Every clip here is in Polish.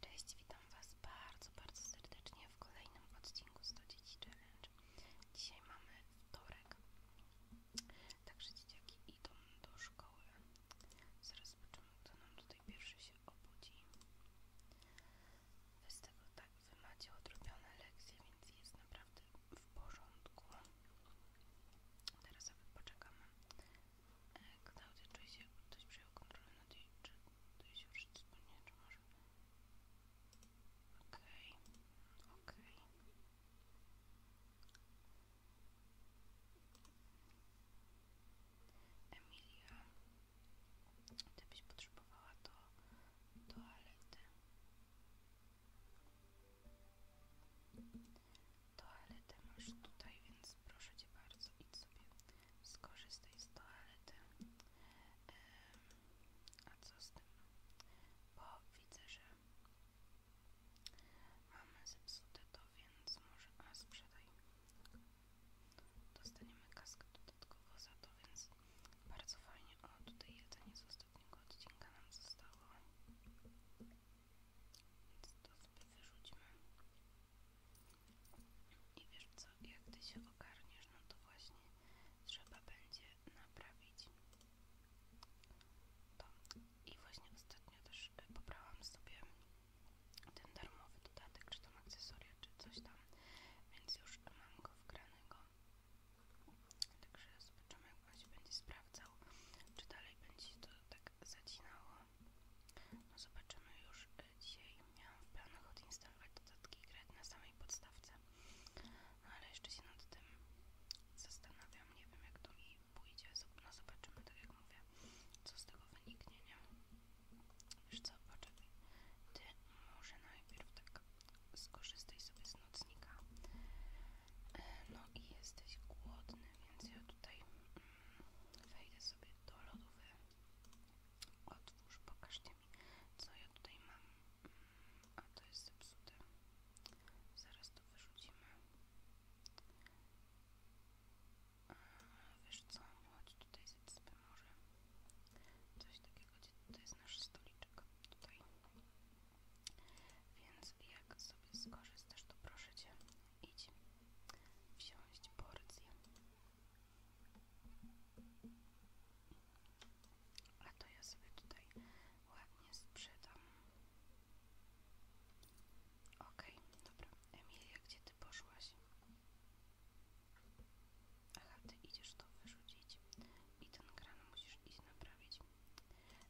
Cześć, witam Was bardzo, bardzo serdecznie w kolejnym odcinku 100 Dzieci Challenge. Dzisiaj mamy wtorek, także dzieciaki idą do szkoły. Zaraz zobaczymy, kto nam tutaj pierwszy się obudzi. Wy tego tak, Wy macie odrobione lekcje, więc jest naprawdę w porządku. Teraz sobie poczekamy, E, Klaudia czuje się, jakby ktoś przejął kontrolę nad jej czego Tutaj się już wspólnie, czy może... Okej, okej. Okay. Emilia, gdybyś potrzebowała to toalety. Toaletę masz tutaj, więc proszę Cię bardzo, idź sobie skorzystaj z toalety. a co z tym? Bo widzę, że mamy zepsute to, więc może... A, sprzedaj. Dostaniemy kaskę dodatkowo za to, więc bardzo fajnie. O, tutaj jedzenie z ostatniego odcinka nam zostało. Więc to sobie wyrzućmy. I wiesz co, jak ty się ogarniesz, no to właśnie trzeba będzie naprawić I właśnie ostatnio też e, pobrałam sobie ten darmowy dodatek, czy tam akcesoria, czy coś tam, więc już mam go wgranego. Także zobaczymy, jak on się będzie sprawdzał, czy dalej będzie to tak zacinało. No zobaczymy już e, dzisiaj. Miałam w planach odinstalować dodatki i na samej podstawce. ale jeszcze się nad tym zastanawiam. Nie wiem jak to mi pójdzie. No zobaczymy, tak jak mówię, co z tego wyniknie, nie? Wiesz co, poczekaj. Ty może najpierw tak skorzystaj sobie z nocnika. E, no i jesteś głodny, więc ja tutaj Wejdę sobie do lodówy. Otwórz, pokażcie mi, co ja tutaj mam. A to jest zepsute. Zaraz to wyrzucimy. A, wiesz co, chodź tutaj zjedzmy może. Coś takiego, to jest nasz stoliczek. Tutaj. Więc jak sobie skorzystasz, to proszę Cię, Idź wziąć porcję. A to ja sobie tutaj ładnie sprzedam. Okej, dobra. Emilia, gdzie ty poszłaś? Ach, ty idziesz to wyrzucić i ten kran musisz iść naprawić.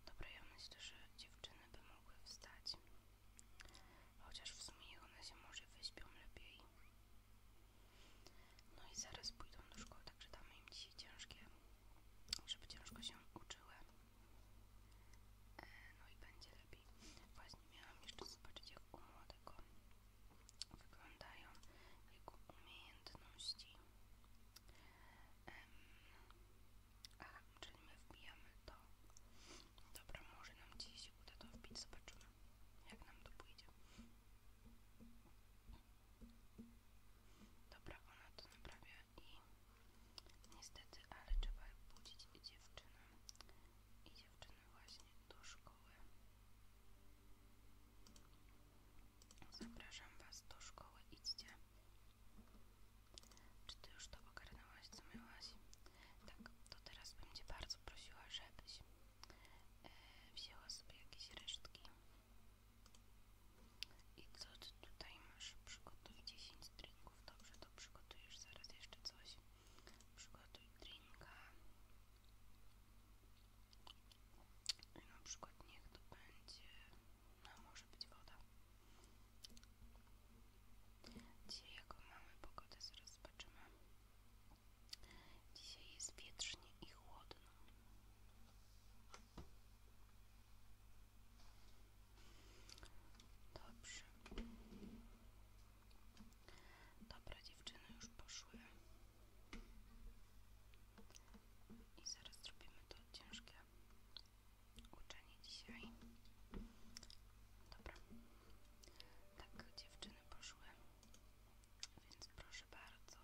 Dobra, ja myślę, że dziewczyny by mogły wstać. Chociaż w sumie one się może wyśpią lepiej. No i zaraz pójdą do szkoły, także damy im dzisiaj ciężkie, żeby ciężko się uczyły. E, no i będzie lepiej. Właśnie miałam jeszcze zobaczyć, jak u młodego wyglądają jego umiejętności. aha, czyli my wbijamy to. Dobra, może nam dziś uda to wbić, zobaczymy jak nam to pójdzie. Dobra, ona to naprawia i niestety, ale trzeba budzić dziewczynę i dziewczyny właśnie do szkoły. Zapraszam Was do szkoły, idźcie. Czy Ty już to ogarnęłaś, co miałaś? Tak, to teraz bym Cię bardzo prosiła, żebyś e, wzięła sobie jakieś resztki. I co Ty tutaj masz? Przygotuj 10 drinków. Dobrze, to przygotujesz zaraz jeszcze coś. Przygotuj drinka. I na przykład niech to będzie... No, może być woda. Dzisiaj jaką mamy pogodę zaraz zobaczymy. Dzisiaj jest wietrznie i chłodno. Dobrze. Dobra, dziewczyny już poszły. I zaraz zrobimy to ciężkie uczenie dzisiaj. Dobra. Tak, dziewczyny poszły, więc proszę bardzo,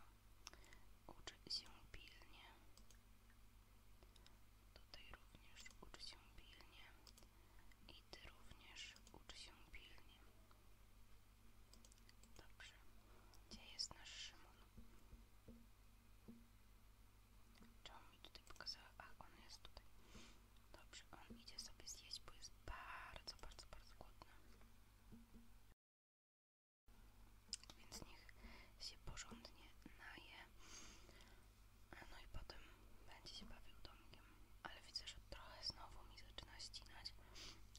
ucz się pilnie. Tutaj również ucz się pilnie i ty również ucz się pilnie. Dobrze, gdzie jest nasz Szymon? Czemu mi tutaj pokazała? A, on jest tutaj. Dobrze, on idzie sobie zjeść, bo jest bardzo, bardzo, bardzo głodny. Więc niech się porządnie naje. No i potem będzie się bawił domkiem. Ale widzę, że trochę znowu mi zaczyna ścinać,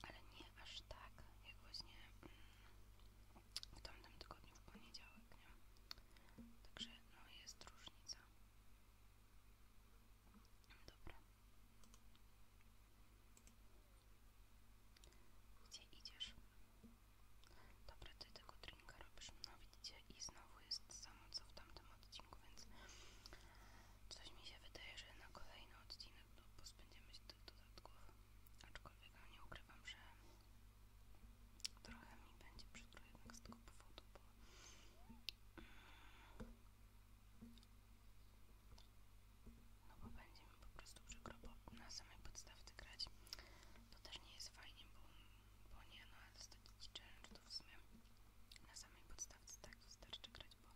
ale nie aż tak, jak właśnie mm, w tamtym tygodniu w poniedziałek, nie? Także no jest różnica. Dobra. Gdzie idziesz? Dobra, ty tego drinka robisz. No widzicie, i znowu jest samo co w tamtym odcinku, więc coś mi się wydaje, że na kolejny odcinek no, pozbędziemy się tych dodatków. Aczkolwiek no nie ukrywam, że trochę mi będzie przykro jednak z tego powodu, no bo będziemy po prostu przykro bo na samej podstawce grać. To też nie jest fajnie, bo, nie, no ale dostać challenge to w sumie na samej podstawce tak wystarczy grać, bo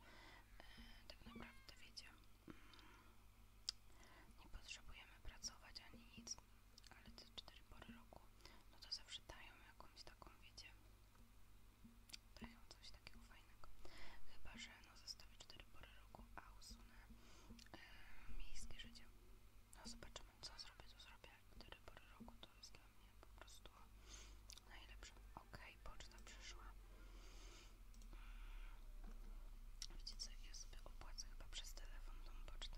e, tak naprawdę wiecie, mm, nie potrzebujemy pracować ani nic, ale te 4 pory roku, no to zawsze dają jakąś taką, wiecie, daję coś takiego fajnego. Chyba, że no zostawię 4 pory roku, a usunę e, miejskie życie. No zobaczymy, co zrobię, to zrobię. 4 pory roku to jest dla mnie po prostu najlepsze. Okej, poczta przyszła. Widzicie co, ja sobie opłacę chyba przez telefon tą pocztę.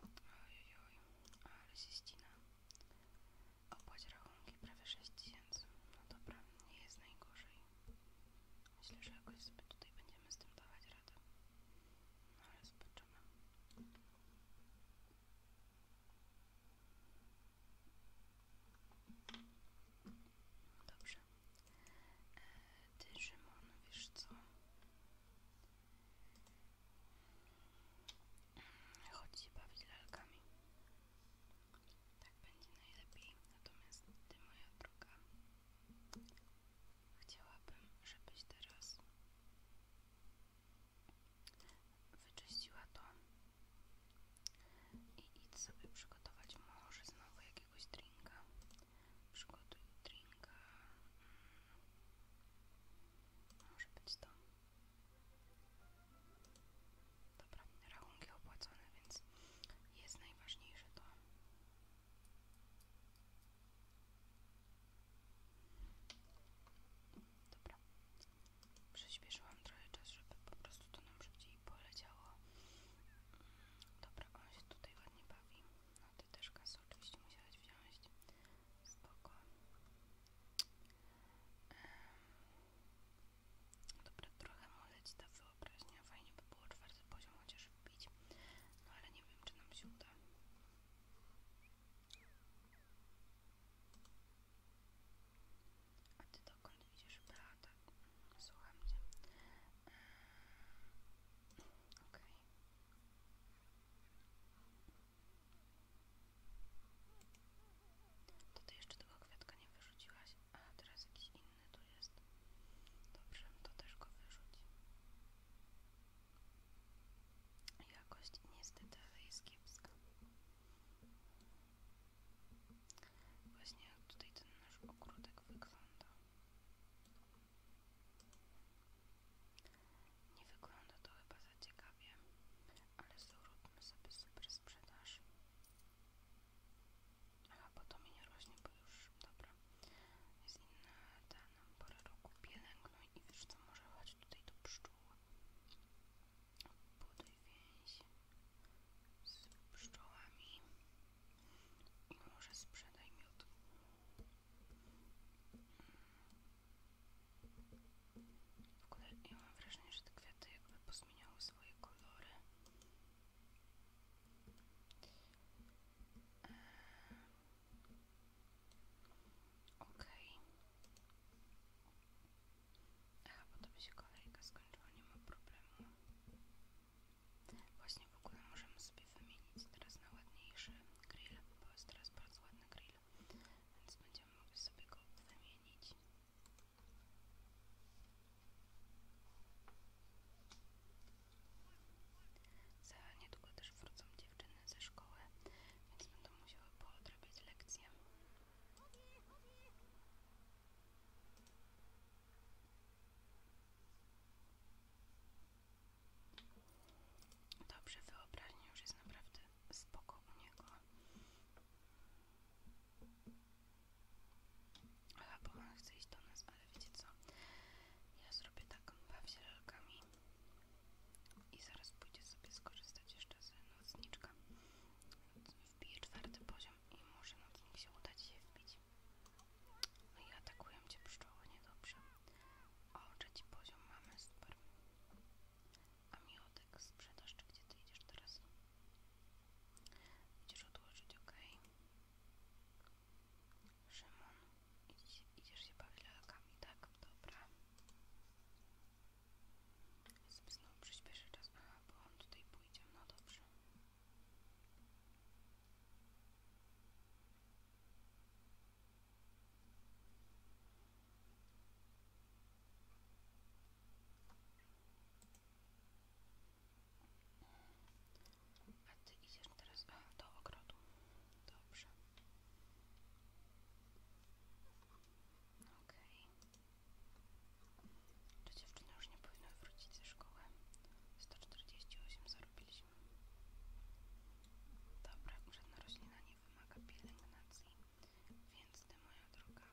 Oj, ale się ścina. Opłać rachunki prawie 6 tysięcy. No dobra, nie jest najgorzej. Myślę, że jakoś sobie tutaj będziemy z tym dawać radę. No ale zobaczymy. Dobrze. E, ty, Szymon, wiesz co? Chodź się bawić lalkami. Tak będzie najlepiej. Natomiast ty, moja droga, chciałabym, żebyś teraz wyczyściła to i idź sobie przygotować może znowu jakiegoś drinka. Przygotuj drinka. Mm. Może być to. Dobra, rachunki opłacone, więc jest najważniejsze to. Dobra, przyspieszyłam trochę czas, żeby po prostu to nam szybciej poleciało. Dobra, on się tutaj ładnie bawi. No ty też kasę oczywiście musiałeś wziąć. Spoko. Dobra, trochę może ci ta wyobraźnia. Fajnie by było czwarty poziom chociaż wbić. No ale nie wiem, czy nam się uda. A ty dokąd widzisz, Beata. Słucham cię. Okej. Okay. To ty jeszcze tego kwiatka nie wyrzuciłaś, a teraz jakiś inny tu jest. Dobrze, to też go wyrzuć. Jakość niestety jest kiepska. Właśnie jak tutaj ten nasz ogródek wygląda. Nie wygląda to chyba za ciekawie, ale zróbmy sobie super sprzedaż. Aha, potem to mi nie rośnie, bo już, dobra, jest inna ta nam pora roku, pielęgnuj i wiesz co, może chodź tutaj do pszczół. Buduj więź z pszczołami i może sprzedaj miód. W ogóle ja mam wrażenie, że te kwiaty jakby pozmieniały swoje kolory. Okej. Okay. Aha, bo to by się kolejka skończyła, nie ma problemu. Właśnie w ogóle możemy sobie wymienić teraz na ładniejszy grill, bo jest teraz bardzo ładny grill, więc będziemy mogli sobie go wymienić. Za niedługo też wrócą dziewczyny ze szkoły, więc będą musiały poodrabiać lekcję. Dobrze, wyobraźnię już jest naprawdę spoko u niego. Aha, bo on chce iść do nas, ale wiecie co? Ja zrobię taką bawzielkami i zaraz pójdzie sobie skorzystać jeszcze z nocniczka. Wbiję czwarty poziom i może nocnik się uda ci się wbić. No i atakują cię pszczoły, niedobrze. O, trzeci poziom mamy, super. A miotek sprzedaż, czy gdzie ty idziesz teraz? Idziesz odłożyć, ok. Szymon, idź, idziesz się bawić lalkami, tak? Dobra. Znowu przyspieszę czas, aha, bo on tutaj pójdzie, no dobrze. A ty idziesz teraz do ogrodu. Dobrze. Okej. Okay. Czy dziewczyny już nie powinny wrócić ze szkoły? 148 zarobiliśmy. Dobra, żadna roślina nie wymaga pielęgnacji, więc ty moja droga,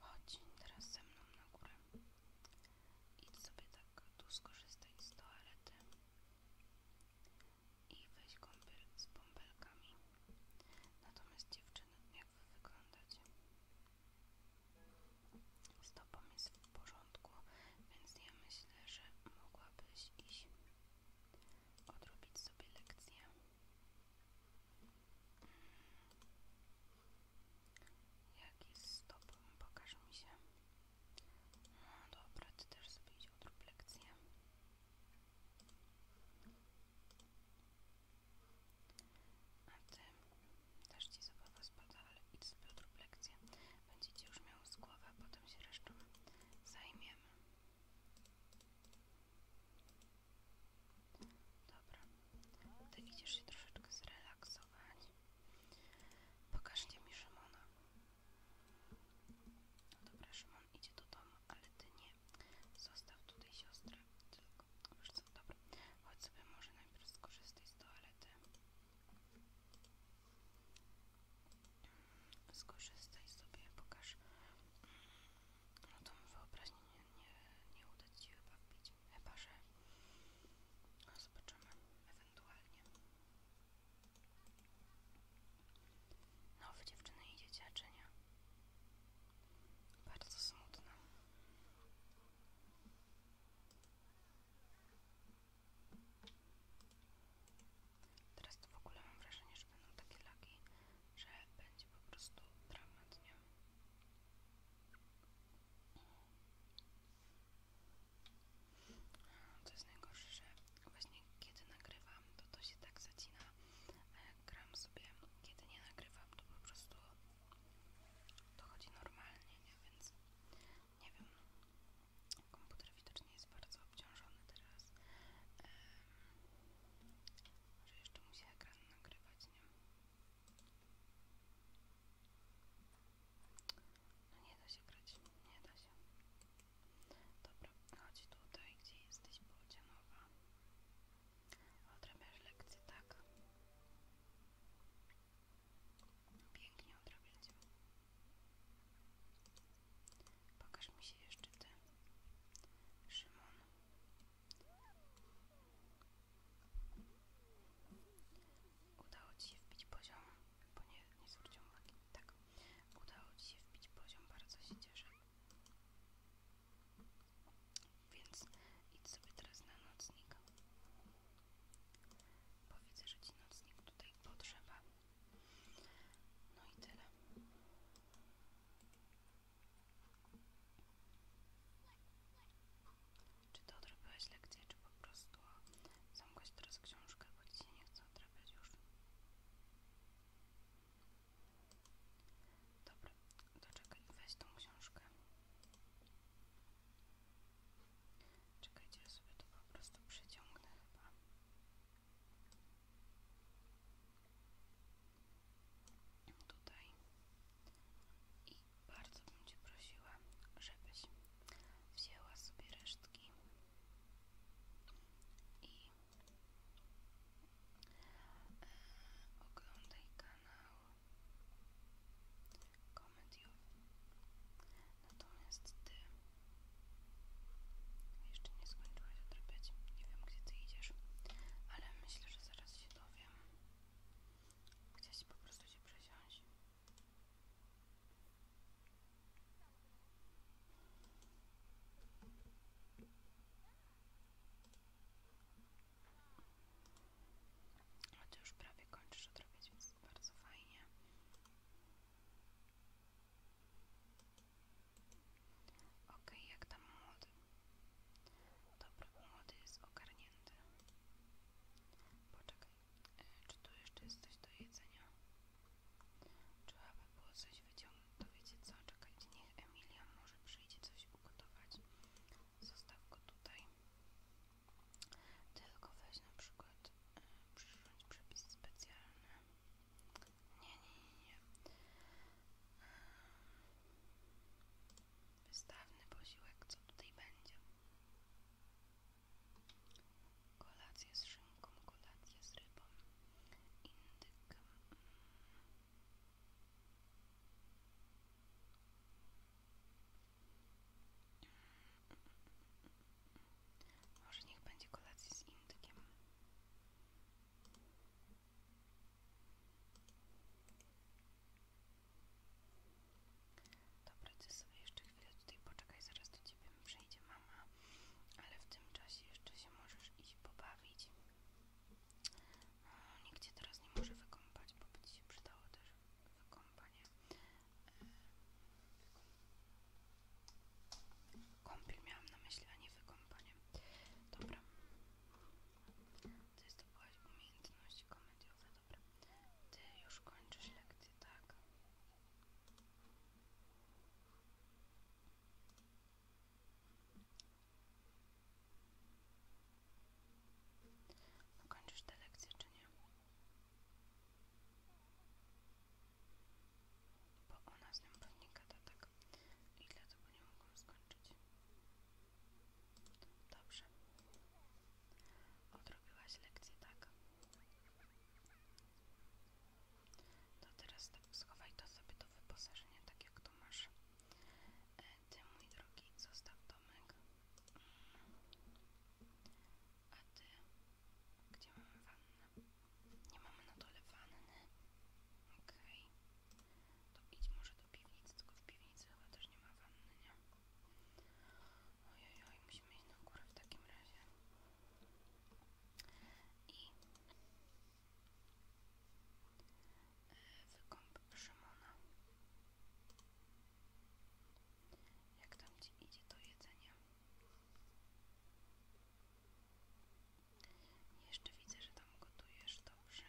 chodź teraz ze mną na górę. Idź sobie tak, tu skorzystaj z toalety i weź kąpiel z bąbelkami. Natomiast dziewczyny, jak wy wyglądacie? Stopą jest w porządku, więc ja myślę, że mogłabyś iść odrobić sobie lekcję. Mm. Jak stop? z Pokaż mi się. No dobra, ty też sobie idź odrób lekcję. A ty, też ci zabawa spada, ale idź sobie odrób lekcję. Będziecie już miał z głowy, potem się resztą zajmiemy. Dobra, ty idziesz się troszeczkę zrelaksować. Pokażcie mi Szymona. No dobra, Szymon idzie do domu, ale ty nie. Zostaw tutaj siostrę. Tylko, wiesz co, dobra. Chodź sobie może najpierw skorzystaj z toalety skorzystaj sobie, pokaż no tą wyobraźnię nie, nie, uda Ci się wbić, chyba że no zobaczymy, ewentualnie no wy dziewczyny idzie czy bardzo smutne Teraz to w ogóle mam wrażenie, że będą takie laki, że będzie po prostu dramat, nie? To jest najgorsze, że właśnie kiedy nagrywam, to to się tak zacina, a jak gram sobie, kiedy nie nagrywam, to po prostu to chodzi normalnie, Więc nie wiem, komputer widocznie jest bardzo obciążony teraz. może jeszcze musi ekran nagrywać, nie? No nie da się grać, nie da się. Dobra, chodź tutaj, gdzie jesteś, Bodzianowa. Odrabiasz lekcję, tak? Pięknie odrabiacie. Pokaż mi się jeszcze ty. Szymon. Udało ci się wbić poziom, bo nie, nie zwróciłam uwagi. Tak, udało ci się wbić poziom, bardzo się cieszę. Więc idź sobie teraz na nocnik. powiedz, widzę, że ci nocnik tutaj potrzeba. No i tyle. Czy to odrobiłaś lekcję, czy po prostu zamkłaś teraz książkę, bo ci nie chce odrabiać już? Dobra, to czekaj, weź tą książkę. Czekajcie, ja sobie to po prostu przyciągnę chyba tutaj i bardzo bym Cię prosiła, żebyś wzięła sobie resztki i e, oglądaj kanał komediowy Natomiast ty jeszcze nie skończyłaś odrobić Nie wiem, gdzie ty idziesz, ale myślę, że zaraz się dowiem. Chciałaś po prostu się przesiąść. A ty już prawie kończysz odrobić więc bardzo fajnie. Ok, jak tam młody? Dobra, młody jest ogarnięty. Poczekaj, e, czy tu jeszcze jest coś do jedzenia? Trzeba by było coś wyciągnąć. To wiecie co, czekajcie, niech Emilia może przyjdzie coś ugotować. Zostaw go tutaj. Tylko weź na przykład e, przyrządź przepis specjalny. Nie, nie, nie. Wystawny posiłek, co tutaj będzie? Kolację z szynką, kolację z rybą, indyk. Może niech będzie kolacja z indykiem. Dobra, ty sobie jeszcze chwilę tutaj poczekaj, zaraz do ciebie przyjdzie mama, ale w tym czasie jeszcze się możesz iść pobawić. No, nikt cię teraz nie może wykąpać, bo będzie ci się przydało też wykąpanie. Kąpiel miałam na myśli, a nie wykąpanie. Dobra. Ty jest to była umiejętności komediowe, dobra. Ty już kończysz lekcję, tak? No kończysz te lekcje, czy nie? Bo ona z nim pewnie tak i dlatego nie mogą skończyć. Dobrze. Odrobiłaś lekcję, tak? To teraz tak schowaj to sobie do wyposażenia, tak jak to masz. E, ty, mój drogi, zostaw domek. Mm. A ty, gdzie mamy wannę? Nie mamy na dole wanny. Okej. To idź może do piwnicy, tylko w piwnicy chyba też nie ma wanny, nie? Ojojoj, musimy iść na górę w takim razie. I e, wykąp Szymona. Jak tam ci idzie to jedzenie? Jeszcze widzę, że tam gotujesz dobrze.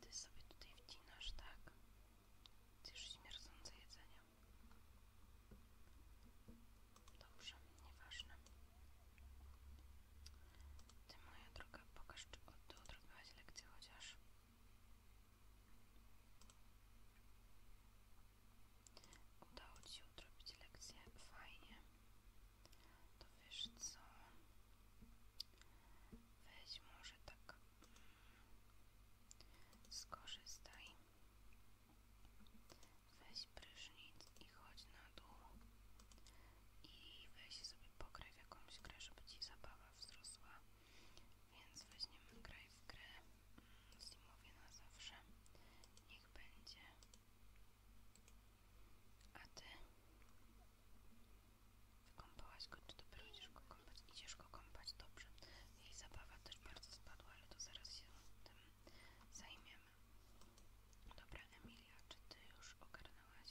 Ty sobie tutaj wcinasz, tak? Ty już śmierdzące jedzenie. Dobrze, nieważne. Ty moja droga, pokaż, czy odrobiłaś lekcję chociaż. Udało Ci się odrobić lekcję? Fajnie. To wiesz co? Weź może tak skorzystaj. Weź prysznic i chodź na dół. I weź sobie pokryw jakąś grę, żeby Ci zabawa wzrosła. Więc weźmiemy graj w grę Zimowie mm, na zawsze. Niech będzie. A ty wykąpałaś go, czy dopiero idziesz go kąpać? Idziesz go kąpać, dobrze. Jej zabawa też bardzo spadła, ale to zaraz się tym zajmiemy. Dobra, Emilia, czy ty już ogarnęłaś?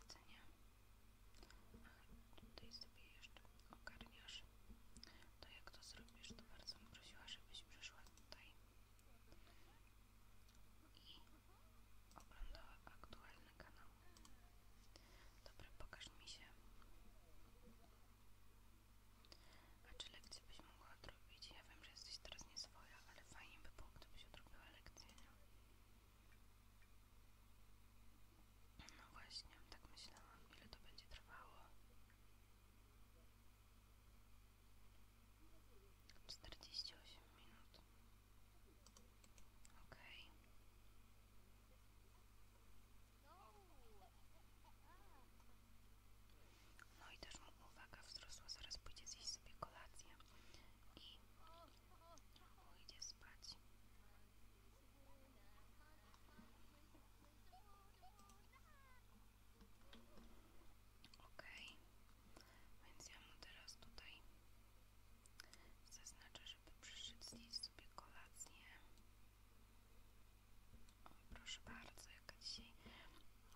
jedzenia. A tutaj sobie jeszcze ogarniasz. To jak to zrobisz, to bardzo bym prosiła, żebyś przyszła tutaj i oglądała aktualny kanał. Dobra, pokaż mi się. A czy lekcje byś mogła odrobić? Ja wiem, że jesteś teraz nieswoja, ale fajnie by było, gdybyś odrobiła lekcję, nie? No właśnie, tak myślałam, ile to będzie trwało. 48 minut. OK. No i też mu uwaga wzrosła, zaraz pójdzie zjeść sobie kolację i pójdzie spać. OK, więc ja mu teraz tutaj zaznaczę, żeby przyszedł sobie kolację. proszę bardzo, jaka dzisiaj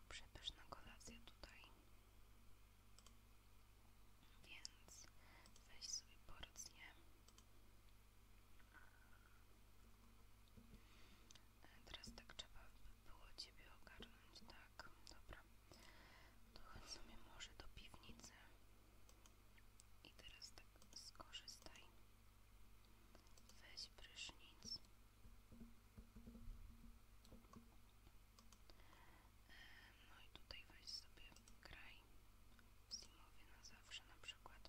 przepyszna kolacja tutaj. Więc weź sobie porcję. E, teraz tak trzeba by było Ciebie ogarnąć, tak? Dobra. To chodź sobie może do piwnicy. I teraz tak skorzystaj. Weź prysznic. E, no i tutaj weź sobie kraj w zimowie na zawsze na przykład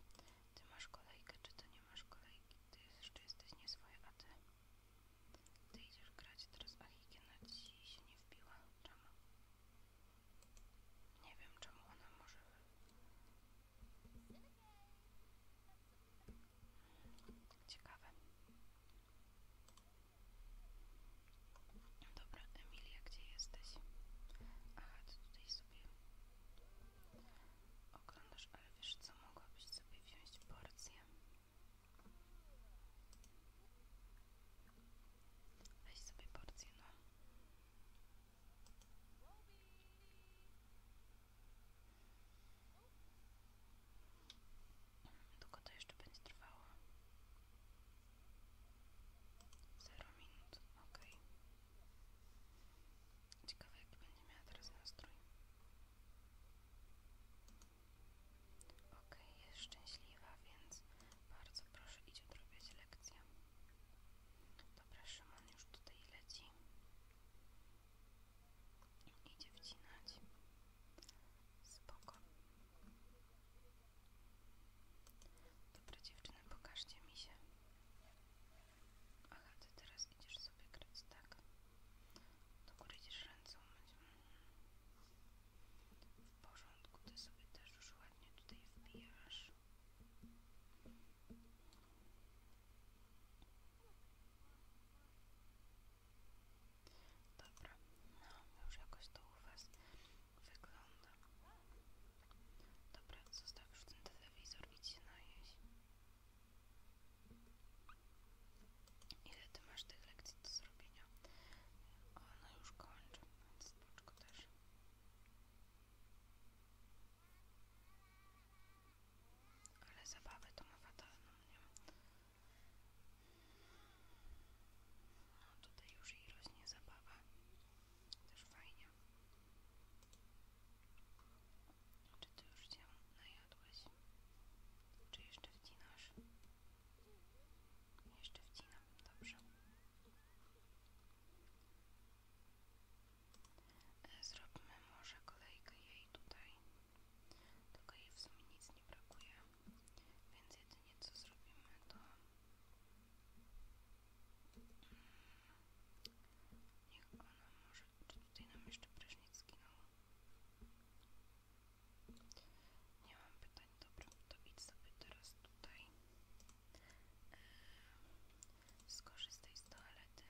Ty masz kolejkę, czy to nie masz kolejki? Ty jeszcze jesteś nieswoja, a ty? idziesz grać teraz, a higiena ci się nie wbiła. Czemu? Nie wiem czemu ona może... Ciekawe. Dobra, Emilia, gdzie jesteś? Aha, ty tutaj sobie oglądasz, ale wiesz co, mogłabyś sobie wziąć porcję. Weź sobie porcję, no. Długo to jeszcze będzie trwało. Zero minut, ok. Ciekawe jaki będzie miała teraz nastrój. Ok, jest szczęśliwa, więc bardzo proszę idź odrobić lekcję. Dobra, Szymon już tutaj leci. Idzie wcinać. Spoko. Dobra dziewczyny, pokażcie mi się. Aha, ty teraz idziesz sobie grać, tak? Do góry idziesz ręce umyć. W porządku, ty sobie też już ładnie tutaj wbijasz. Dobra, no już jakoś to u wygląda. Dobra, zostaw już ten telewizor, idź się najeść. Ile ty masz tych lekcji do zrobienia? Ona już kończy, więc spoczko też. Ale zabawę to ma fatalną, nie? No tutaj już i rośnie zabawa. Też fajnie. Czy ty już się najadłeś? Czy jeszcze wcinasz? Jeszcze wcinam, dobrze. E, zrobimy może kolejkę jej tutaj. Tylko jej w sumie nic nie brakuje. Więc jedynie co zrobimy to Niech ona może... tutaj nam jeszcze prysznic zginął? Nie mam pytań. Dobra, to idź sobie teraz tutaj. Skorzystaj z toalety.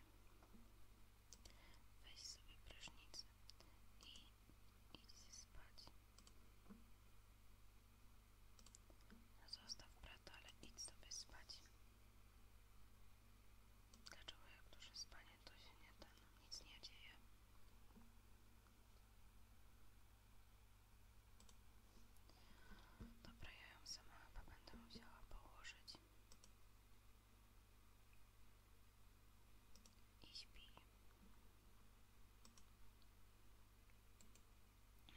Weź sobie prysznicę i idź spać. Zostaw brata, ale idź sobie spać. Dlaczego jak dużo spanie, to się nie da, nic nie dzieje. Dobra, ja ją sama chyba będę musiała położyć. I śpi.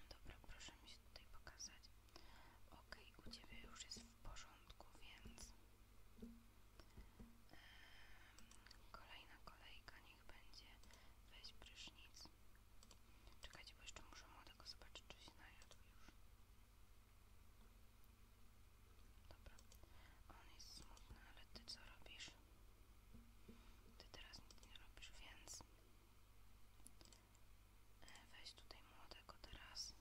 Dobra, proszę mi się tutaj pokazać. Ok, u Ciebie już jest w porządku, więc kolejna kolejka niech będzie weź prysznic. Czekajcie, bo jeszcze muszę młodego zobaczyć, czy się najadł już. Dobra, on jest smutny, ale Ty co robisz? Ty teraz nic nie robisz, więc E, weź tutaj młodego teraz.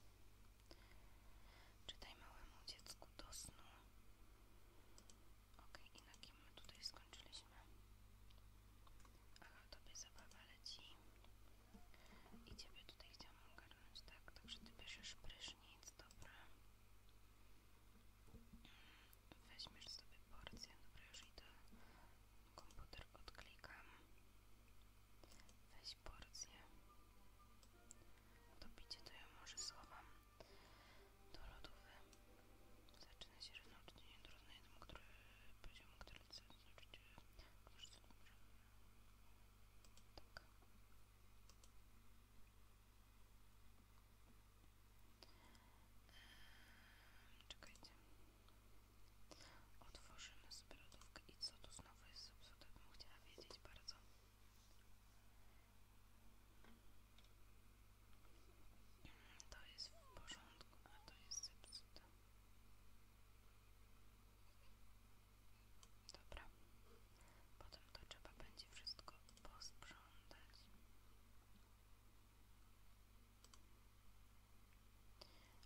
Czytaj małemu dziecku do snu. Okej, i na kim my tutaj skończyliśmy? Aha, tobie zabawa leci. I ciebie tutaj chciałam ogarnąć, tak? Także ty bierzesz prysznic, dobra. Mm, weźmiesz sobie porcję, dobra, już idę Komputer odklikam. Weź porcję. Dobicie to ja może schowam do lodówy. Zaczyna się równocznie do jednemu, który poziomu, który chce oczywiście znaczy, książce dobrze. Tak. Eee, czekajcie. Otworzymy sobie lodówkę i co tu znowu jest zepsute, bym chciała wiedzieć bardzo. To jest w porządku, a to jest zepsute. Dobra. Potem to trzeba będzie wszystko posprzątać.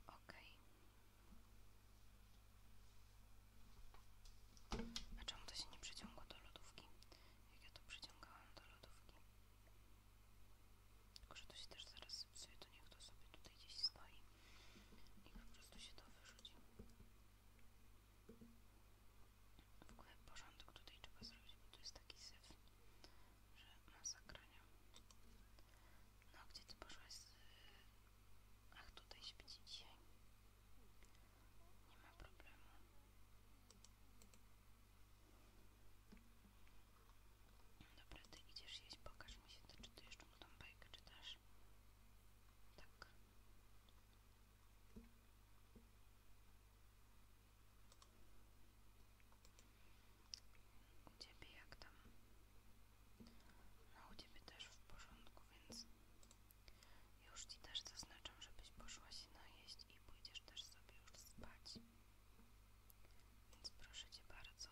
Ok. A czemu to się nie przyciągło do lodówki? Jak ja to przyciągałam do lodówki? Tylko, że to się też zaraz zepsuje, to niech to sobie tutaj gdzieś stoi i po prostu się to wyrzuci. W ogóle porządek tutaj trzeba zrobić, bo tu jest taki syf że masakrania. No, gdzie ty poszłaś z... Ach, tutaj śpić dzisiaj. Nie ma problemu. Dobra, ty idziesz jeść, pokaż mi się, to, czy ty jeszcze mu tą bajkę czytasz. Tak. U ciebie jak tam? A u ciebie też w porządku, więc już ci też zaznaczam, żebyś poszła się najeść i pójdziesz też sobie już spać. Więc proszę cię bardzo,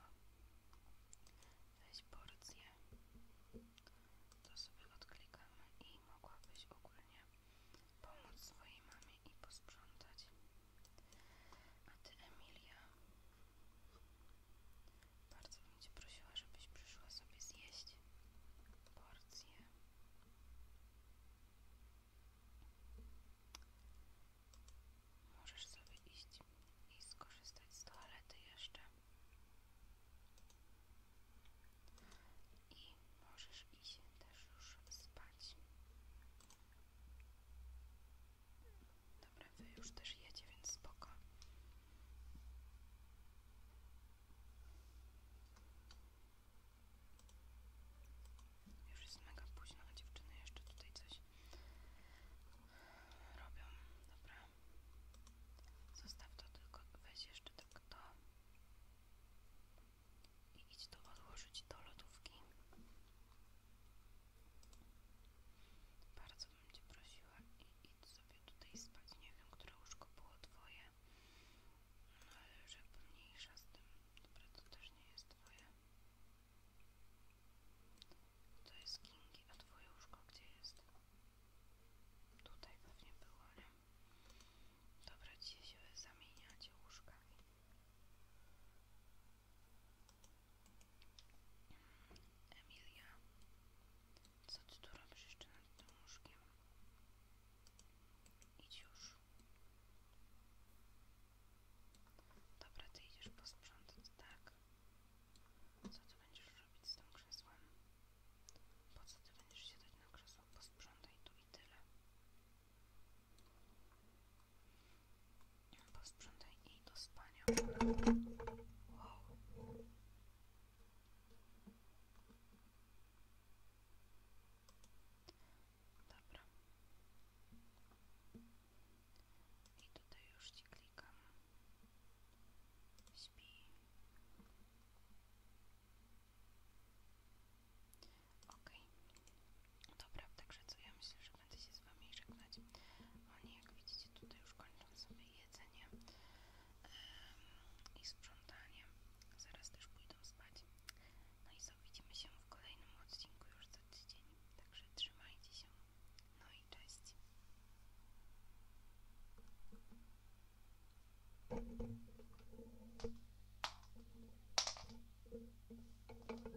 weź porcję. To sobie odklikamy i mogłabyś ogólnie pomóc swojej mamie i posprzątać. A ty, Emilia, bardzo bym cię prosiła, żebyś przyszła sobie zjeść porcję. Możesz sobie iść i skorzystać z toalety jeszcze. I możesz iść też już spać. Dobra, wy już też jecie, więc spoko. Już jest mega późno, a dziewczyny jeszcze tutaj coś robią. Dobra. Zostaw to tylko, weź jeszcze tak to i idź to odłożyć do lodówki. Bardzo bym Cię prosiła i idź sobie tutaj spać. Nie wiem, które łóżko było Twoje, no ale już jakby mniejsza z tym. Dobra, to też nie jest Twoje. To jest Kingi, a Twoje łóżko gdzie jest? Tutaj pewnie było, ale Dobra, dzisiaj się zamieniacie łóżkami. Emilia, co ty tu robisz jeszcze nad tym łóżkiem? Idź już. Dobra, ty idziesz po posprzątać, tak? Co ty będziesz robić z tym krzesłem? Po co ty będziesz siedzieć na krzesło? Posprzątaj tu i tyle. Posprzątaj i do spania. Wow. Dobra. I tutaj już ci klikam. Śpi. Okej. Okay. Dobra, także co, ja myślę, że będę się z Wami żegnać. Oni, jak widzicie, tutaj już kończą sobie jedzenie i sprzątanie. Zaraz też pójdą spać. No i co, widzimy się w kolejnym odcinku już za tydzień. Także trzymajcie się. No i cześć.